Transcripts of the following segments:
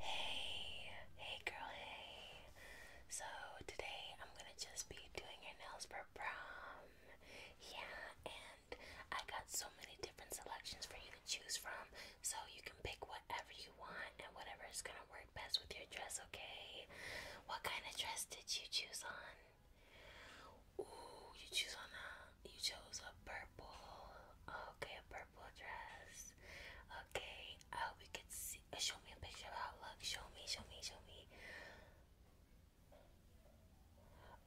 Hey, hey girl, hey. So today I'm gonna just be doing your nails for prom. Yeah, and I got so many different selections for you to choose from. So you can pick whatever you want and whatever is gonna work best with your dress, okay? What kind of dress did you choose on? Ooh, you choose on a you chose a purple. Okay, a purple dress. Okay, I hope you can see. Uh, show me a picture of how it looks. Show me, show me, show me.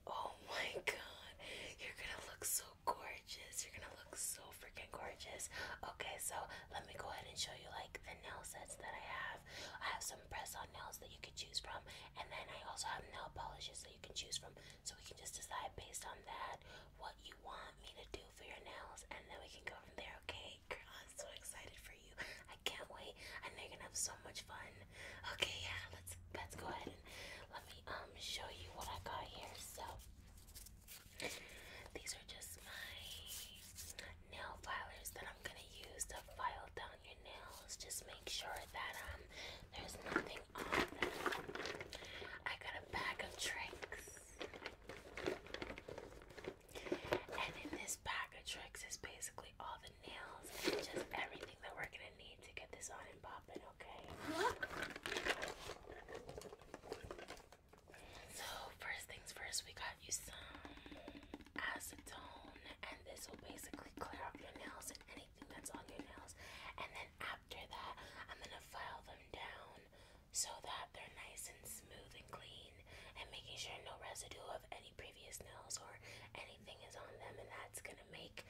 Oh my god, you're gonna look so gorgeous. You're gonna look so freaking gorgeous. Okay, so let me go ahead and show you like the nail sets that I have. I have some press on nails that you can choose from, and then I also have nail polishes that you can choose from. So we can just decide based on that what you want me to do for your nails, and then we can go from there, okay? I'm so excited for you. I can't wait. I know are gonna have so much fun. Okay, yeah, let's let's go ahead and let me um show you what I got here. So these are just my nail filers that I'm gonna use to file down your nails. Just make sure that um there's nothing I got a bag of tricks. And in this bag of tricks is basically all the nails just everything that we're gonna need to get this on and popping, okay? So first things first, we got you some acetone and this will basically clear up your nails and anything that's on your nails. And then after that, I'm going to file them down so that they're nice and smooth and clean and making sure no residue of any previous nails or anything is on them and that's going to make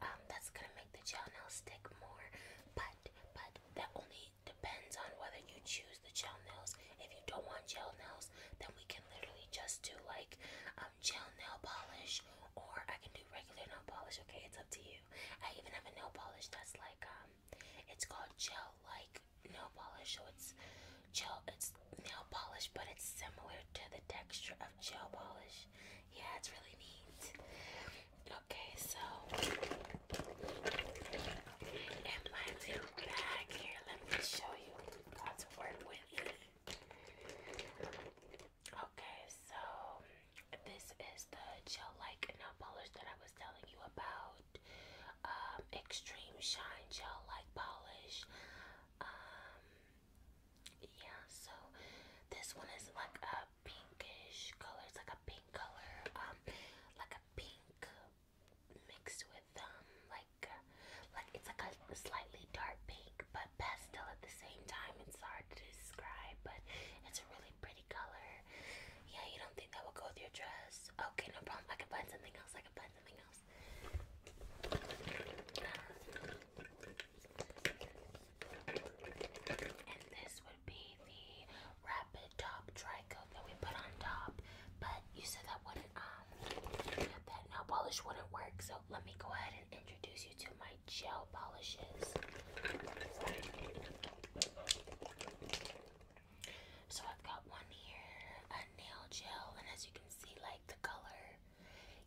um, that's going to make the gel nail stick more but but that only depends on whether you choose the gel nails if you don't want gel nails then we can literally just do like um, gel nail polish or I can do regular nail polish okay it's up to you I even have a nail polish that's like um, it's called gel like nail polish. So it's gel, it's nail polish, but it's similar to the texture of gel polish. Yeah, it's really neat. Okay, so in my little bag here, let me show you God's word with. Okay, so this is the gel like nail polish that I was telling you about. Um, Extreme Shine Gel Like Polish. Um, yeah, so this one is like a pinkish color. It's like a pink color, um, like a pink mixed with um, like like it's like a slightly dark pink but pastel at the same time. It's hard to describe, but it's a really pretty color. Yeah, you don't think that will go with your dress? Okay, no problem. I can find something else. I can find something else. Um, and this would be the rapid top dry coat that we put on top. But you said that wouldn't um that nail polish wouldn't work, so let me go ahead introduce you to my gel polishes. So I've got one here, a nail gel, and as you can see, like the color,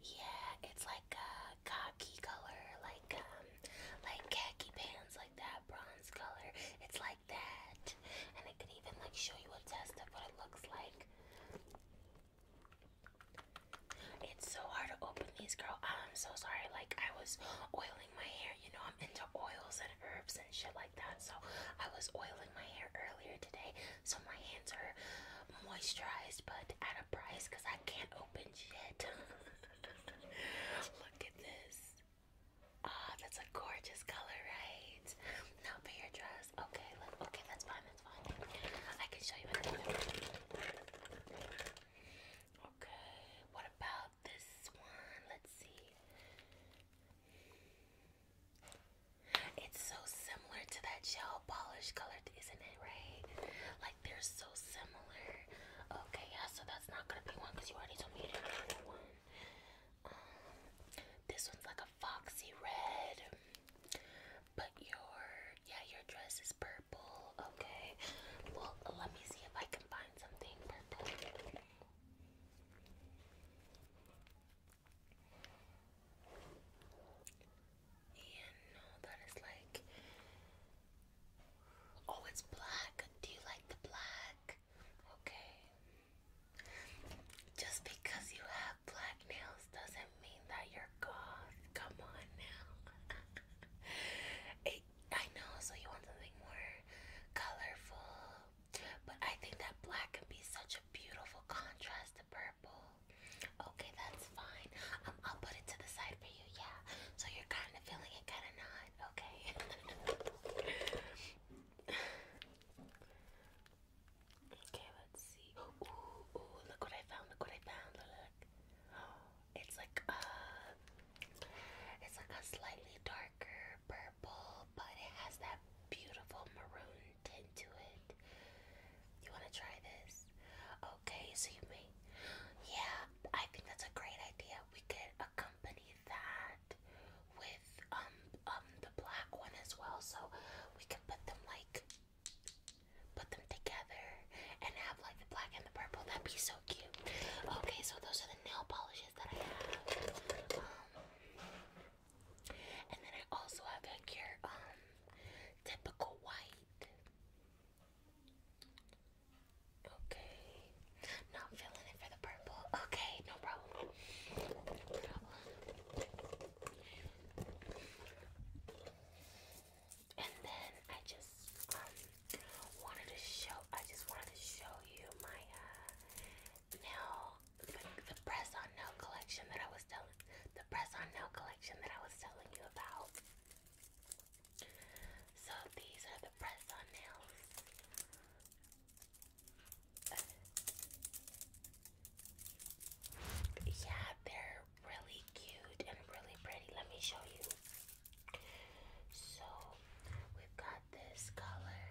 yeah, it's like a khaki color, like um, like khaki pants, like that bronze color. It's like that, and I could even like show you a test of what it looks like. It's so hard to open these, girl. I'm so sorry. Like, I was oiling my hair. You know, I'm into oils and herbs and shit like that. So, I was oiling my hair earlier today. So, my hands are moisturized, but at a price because I can't open shit. Look at this. Ah, that's a gorgeous color, right? Not for your dress. Okay, look. Okay, that's fine. Okay, what about this one? Let's see. It's so similar to that gel polish color, isn't it, right? Like they're so similar. Okay, yeah, so that's not gonna be one because you already told me you didn't one. Um, this one's like a foxy red but your yeah your dress is purple. Okay. Well, let me see if I can find something purple. Yeah, no, that is like. Oh, it's black. Do you like the black? Okay. Just because you have black nails doesn't mean that you're goth. Come on now. it, I know, so you want something more colorful. But I think that black can be such a beautiful contrast to purple. Okay, that's fine. Um, I'll put it to the side for you, yeah. So you're kind of feeling it, kind of not. Okay. Okay, let's see. Ooh, look what I found, look what I found, look. Oh, it's like uh it's like a slightly darker purple, but it has that beautiful maroon tint to it. You wanna try this? Okay, so you may Yeah, I think that's a great idea. We could accompany that with um um the black one as well, so we can put them like put them together and have like the black and the purple. That'd be so cute. Okay, so those are the nail polishes that I have. Um, and then I also have like your um typical white. Okay. Not feeling it for the purple. Okay, No problem. And then I just um, wanted to show. I just wanted to show you my uh, nail, the press on nail collection that I was telling. The press on nail collection that I was telling you about. So these are the press on nails. Yeah, they're really cute and really pretty. Let me show you. So, we've got this color.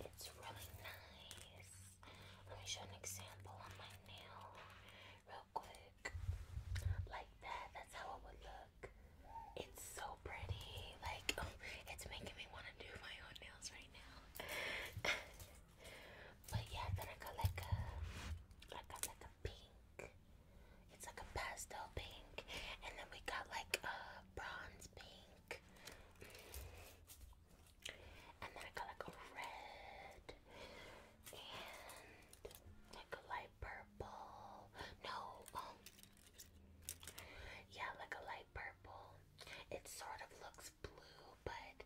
It's really nice. Let me show an example on my nail real quick. Like that. That's how it would look. It's so pretty. Like, it's making me want to do my own nails right now. But yeah, then I got like a, I got like a pink. It's like a pastel pink, and then we got like a bronze pink, and then I got like a red and like a light purple. No, um, yeah, like a light purple. It sort of looks blue, but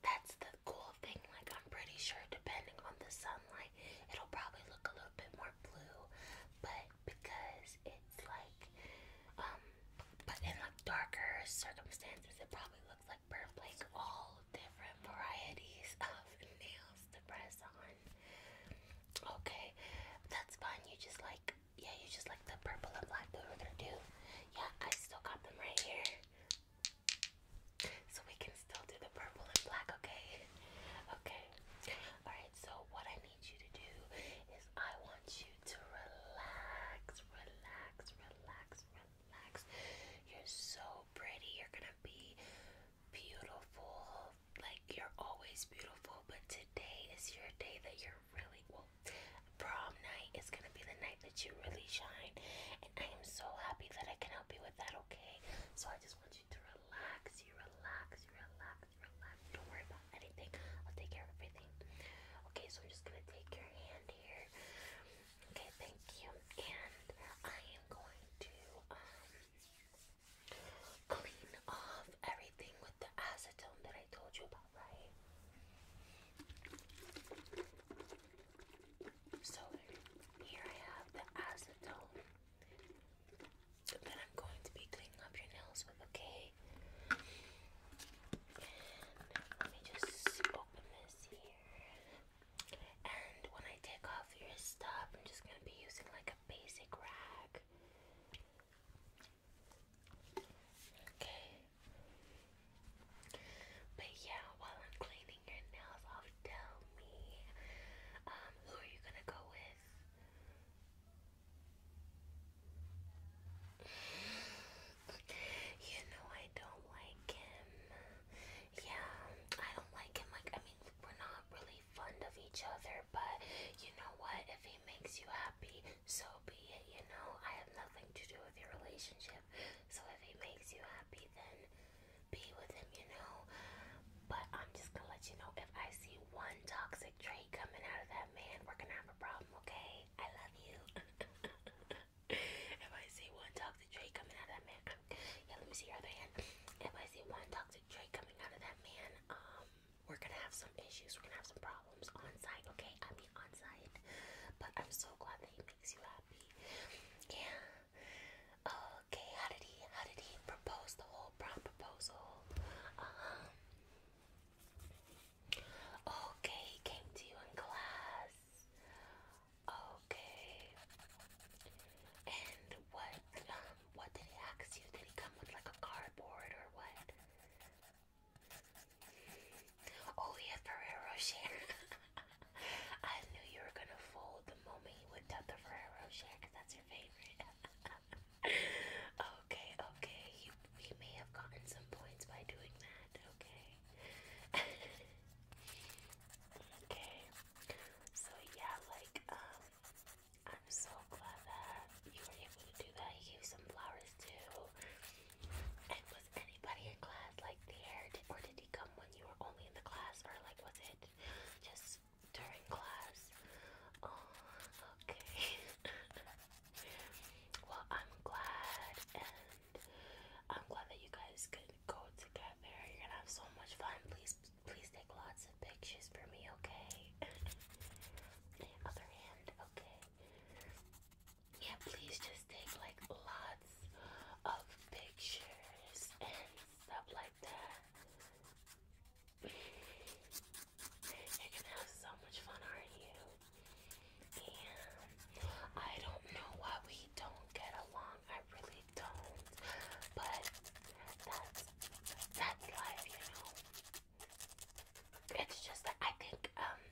that's the cool thing. Like, I'm pretty sure, depending on the sunlight, it'll probably look a little bit more blue, but because it's like, um, but in like darker circumstances, it probably looks like purple. Like, all different varieties of nails to press on. Okay, that's fine. You just like yeah, you just like the purple and black that we're gonna do. Yeah, I still got them right here. So we can still do the purple and black, okay? Okay. Alright, so what I need you to do is I want you to relax, relax, relax, relax. You're so pretty. You're gonna be beautiful. Like you're always beautiful, but today is your day that you're really Prom night is gonna be the night that you really shine, and I am so happy that I can help you with that. Okay, so I just want you to relax. You relax. You relax. You relax. Don't worry about anything. I'll take care of everything. Okay, so I'm just gonna take your hand here. Okay, thank you. And I am going to um clean off everything with the acetone that I told you about right? So here I have the acetone that I'm going to be cleaning up your nails with, okay? And let me just open this here. And when I take off your stuff, I'm just going to be using like a basic rag. Okay. But yeah, while I'm cleaning your nails off, tell me, um, who are you gonna go with? You know I don't like him. Yeah, I don't like him. Like, I mean, we're not really fond of each other, but you know what? If he makes you happy, so be you know, I have nothing to do with your relationship. So if he makes you happy, then be with him, you know. But I'm just gonna let you know if I see one toxic trait coming out of that man, we're gonna have a problem, okay? I love you. if I see one toxic trait coming out of that man, yeah, let me see your other hand. If I see one toxic trait coming out of that man, um, we're gonna have some issues. We're gonna have some problems on site, okay? I mean on site. But I'm so glad that he makes you happy. Yeah. Okay, how did he how did he propose the whole prom proposal? uh Okay, he came to you in class. Okay. And what um, what did he ask you? Did he come with like a cardboard or what? Oh yeah, Ferrero Rocher. I knew you were gonna fold the moment you whipped out the Ferrero Rocher because that's your favorite. okay, okay, you, you may have gotten some points by doing that. Okay. okay. So yeah, like um, I'm so glad that you were able to do that. He gave some flowers too. And was anybody in class like there? Did, or did he come when you were only in the class? Or like was it just during class? Oh, okay. well, I'm glad and I'm glad that you guys could go together. You're gonna have so much fun. Please please take lots of pictures for me, okay? the other hand, yeah, please just take like lots of pictures and stuff like that. You're have so much fun, aren't you? And I don't know why we don't get along. I really don't. But that's that's life, you know. It's just that I think um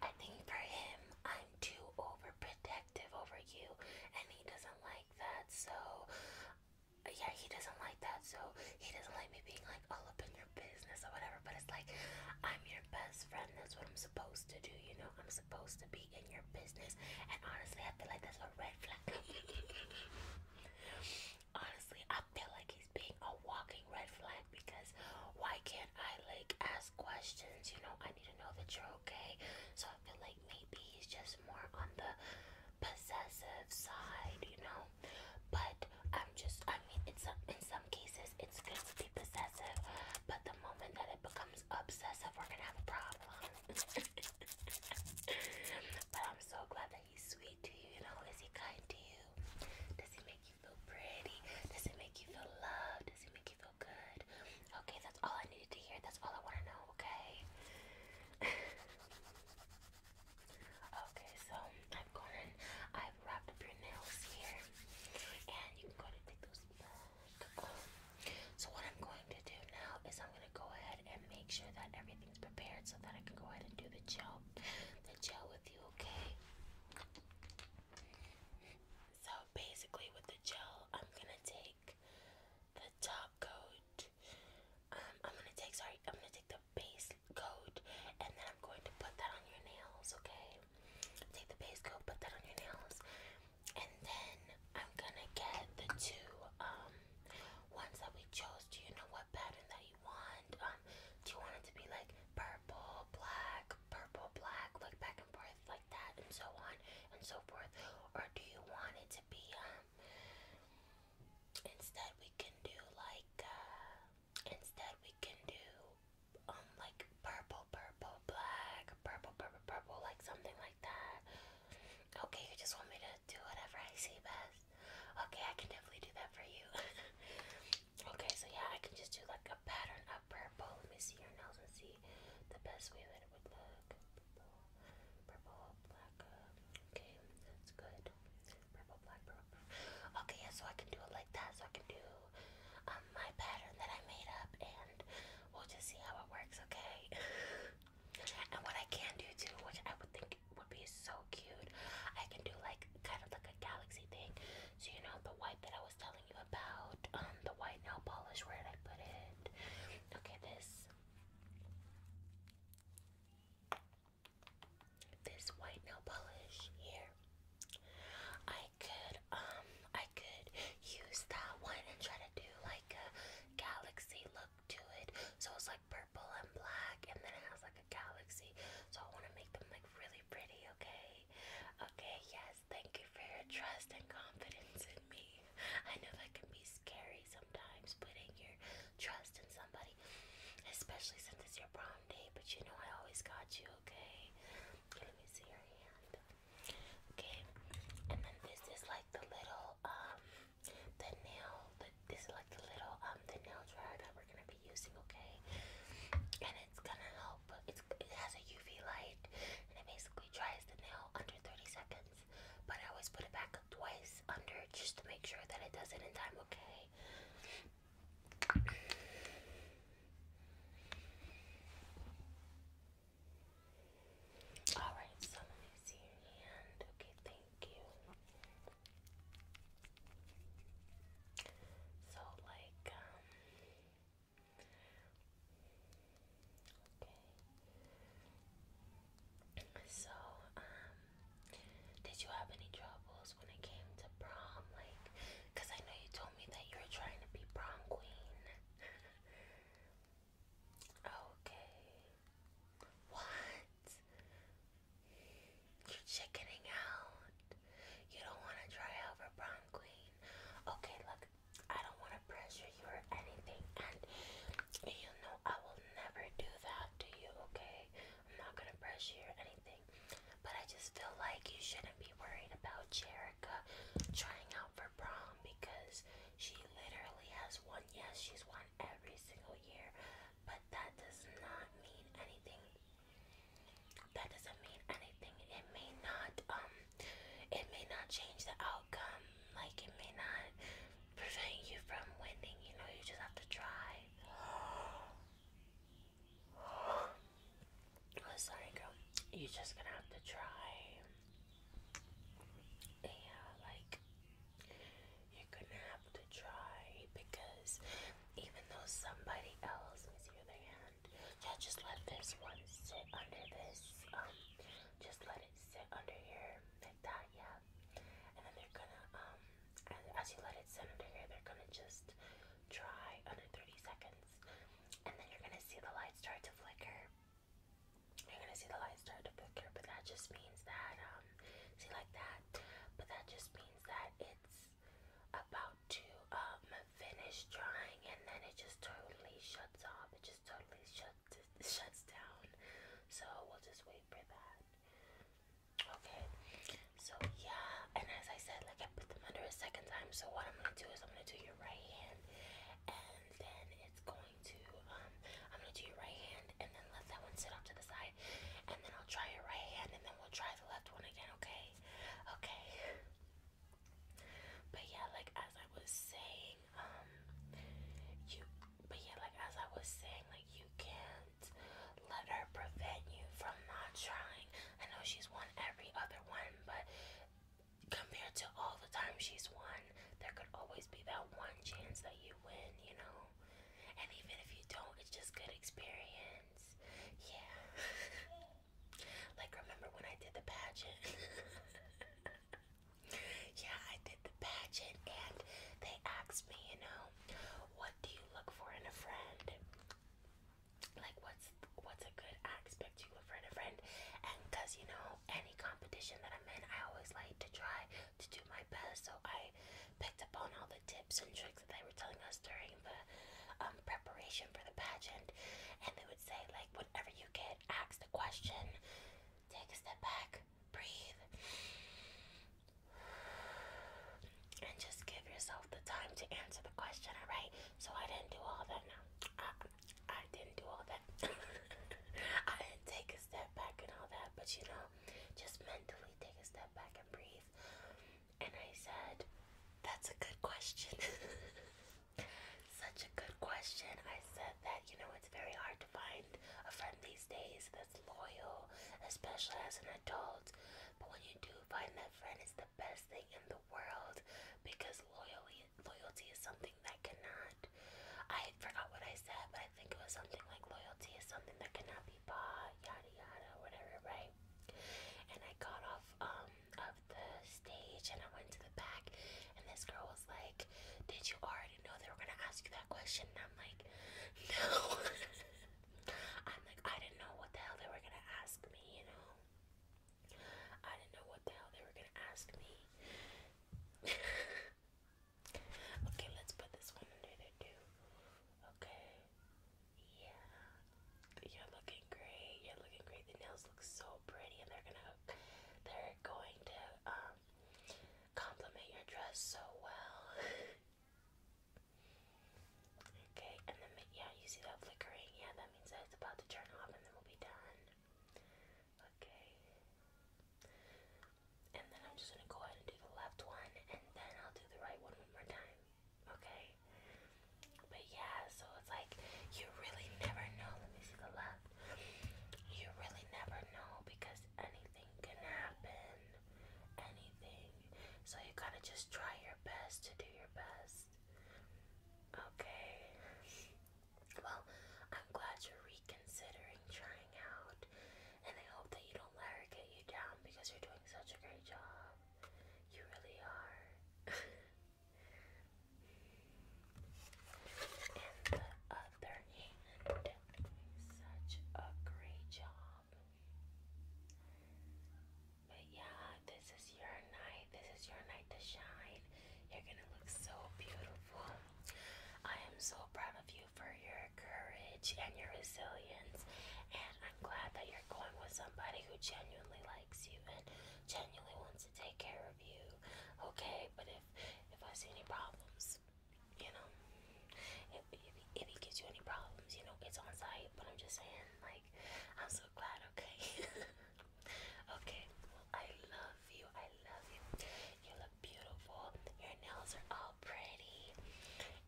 I think for him I'm too overprotective over you and he doesn't like that so yeah he doesn't like that so he doesn't like me being like all up in your business or whatever but it's like I'm your best friend that's what I'm supposed to do you know I'm supposed to be in your business and honestly I feel like that's a red flag honestly, I feel like he's being a walking red flag because why can't I like ask questions? You know, I need to know that you're okay. So I feel like maybe he's just more on the possessive side, you know. But I'm just, I mean, it's some in some cases, it's good to be possessive, but the moment that it becomes obsessive, we're gonna have a problem. but I'm so glad that he's sweet to you? You know, is he kind to you? Does he make you feel pretty? Does he make you feel loved? Does he make you feel good? Okay, that's all I needed to hear. That's all I want to know, okay? okay, so I've gone and I've wrapped up your nails here. And you can go and take those back. Um, so what I'm going to do now is I'm going to go ahead and make sure that everything prepared so that I can go ahead and do the gel, the gel with you, okay? So basically, with the gel, I'm gonna take the top coat. Um, I'm gonna take sorry, I'm gonna take the base coat, and then I'm going to put that on your nails, okay? Take the base coat, put that on your nails, and then I'm gonna get the two um, ones that we chose. Do you know what pattern that you want. Um, do you want it to be like purple, black, purple, black, like back and forth, like that, and so on and so forth? Or do you want it to be, um, instead we can do like, uh, instead we can do, um, like purple, purple, black, purple, purple, purple, like something like that. Okay, you just want me to do whatever I see best. Okay, I can definitely do that for you. okay, so yeah, I can just do like a pattern of purple. Let me see your nose and see the best way that it would look. Purple, purple, black. Uh, okay, that's good. Purple, black, purple, Okay, yeah, so I can do it like that. So I can do um, my pattern that I made up, and we'll just see how it works. Okay. And what I can do too, which I would think would be so cute, I can do like kind of like a galaxy thing. So you know the white that I was telling you about, um, the white nail polish. Where did I put it? Okay, this. This white nail polish here. I could um I could use that one and try to do like a galaxy look to it. So it's like like purple and black, and then it has like a galaxy. So I want to make them like really pretty, okay? Okay, yes, thank you for your trust and confidence in me. I know that can be scary sometimes, putting your trust in somebody, especially since it's your prom day, but you know I always got you, okay? Let me see your hand. Okay, and then this is like the little um the nail this is like the little um the nail dryer that we're gonna be using okay and it's gonna help it's it has a UV light and it basically dries the nail under 30 seconds but I always put it back up twice under just to make sure that it does it in time okay Alright, so see your hand. Okay, so, like, um, okay. So, um, did you have any troubles when it came to prom? Like, because I know you told me that you were trying to be prom queen. okay. What? You're chickening out. You don't want to try out for prom queen. Okay, look, I don't want to pressure you or anything, and you know I will never do that to you, okay? I'm not going to pressure you or anything, but I just feel like you shouldn't be worried about Jerica trying out for prom because she literally has one yes, she's one every single year, but that does not mean anything. That doesn't mean anything. It may not, um, it may not change the outcome. Like it may not prevent you from winning. You know, you just have to try. Oh, girl. You're just gonna have to try. Yeah, like you're gonna have to try because even though somebody else, let me see your other hand. Yeah, just let this one sit under this. Um, just let it sit under here that. Yeah, and then they're gonna um, as you let it sit under here, they're gonna just dry under 30 seconds, and then you're gonna see the light start to flicker. You're gonna see the light start to flicker, but that just means that, um, see like that? But that just means that it's about to, um, finish drying and then it just totally shuts off. It just totally shuts, shuts down. So we'll just wait for that. Okay, so yeah, and as I said, like I put them under a second time. So what I'm gonna do is I'm gonna do your right hand and then it's going um, I'm gonna do your right hand and then let that one sit off to the side. And then I'll try your right hand and then we'll try the left one again, okay? Okay. But yeah, like as I was saying, um, you, but yeah, like as I was saying, like you can't let her prevent you from not trying. I know she's won every other one, but compared to all the time she's won, there could always be that one chance that you win, you know? And even if you don't, it's just good experience. Yeah. like, remember when I did the pageant? yeah, I did the pageant, and they asked me, you know, what do you look for in a friend? Like, what's what's a good aspect you look for in a friend? And because, you know, any competition that I'm in, I always like to try to do my best. So I picked up on all the tips and tricks that they were telling us during the um, preparation for the pageant. And they would say, like, whatever you get, asked a question, take a step back, breathe, and just give yourself the time to answer the question, alright? So I didn't do all that now. Uh, I didn't do all that. I didn't take a step back and all that, but you know, just mentally take a step back and breathe. And I said, That's a good question. Such a good question. I said that, you know, it's very hard to find a friend these days that's loyal, especially as an adult. But when you do find that friend, it's the best thing in the world because loyalty loyalty is something that cannot. I forgot what I said, but I think it was something like loyalty is something that cannot be bought, yada yada, whatever, right? And I got off um of the stage and I went to the back, and this girl was like, "Did you already know they were gonna ask you that question?" And I'm like, "No." I'm like, I didn't know what the hell they were gonna ask me, you know. I didn't know what the hell they were gonna ask me. okay, let's put this one under there too. Okay. Yeah. You're looking great. You're looking great. The nails look so pretty and they're gonna they're going to um compliment your dress so well. okay, and then yeah, you see that flickering? Yeah, that means that it's about to turn off and then we'll be done. Okay. And then I'm just gonna go ahead and do the left one, and then I'll do the right one one more time. Okay. But yeah, so it's like you really never know. Let me see the left. You really never know because anything can happen. Anything. So you gotta just try your best to do your best. Okay. Well, I'm glad you're reconsidering trying out, and I hope that you don't let her get you down because you're doing such a great job. You really are. and the other hand, such a great job. But yeah, this is your night. This is your night to shine. You're gonna look so beautiful. I am so proud of you for your courage and your resilience. And I'm glad that you're going with somebody who genuinely likes you and genuinely wants to take care of you. Okay, but if if I see any problems, you know, if, if he gives you any problems, you know, it's on site. But I'm just saying, like, I'm so glad. Okay. Okay, I love you. I love you. You look beautiful. Your nails are all pretty.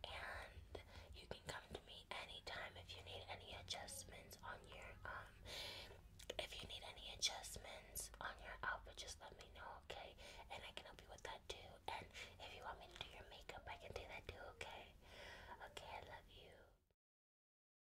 And you can come to me anytime if you need any adjustments on your, um, if you need any adjustments on your outfit, just let me know, okay? And I can help you with that too. And if you want me to do your makeup, I can do that too, okay? Okay, I love you.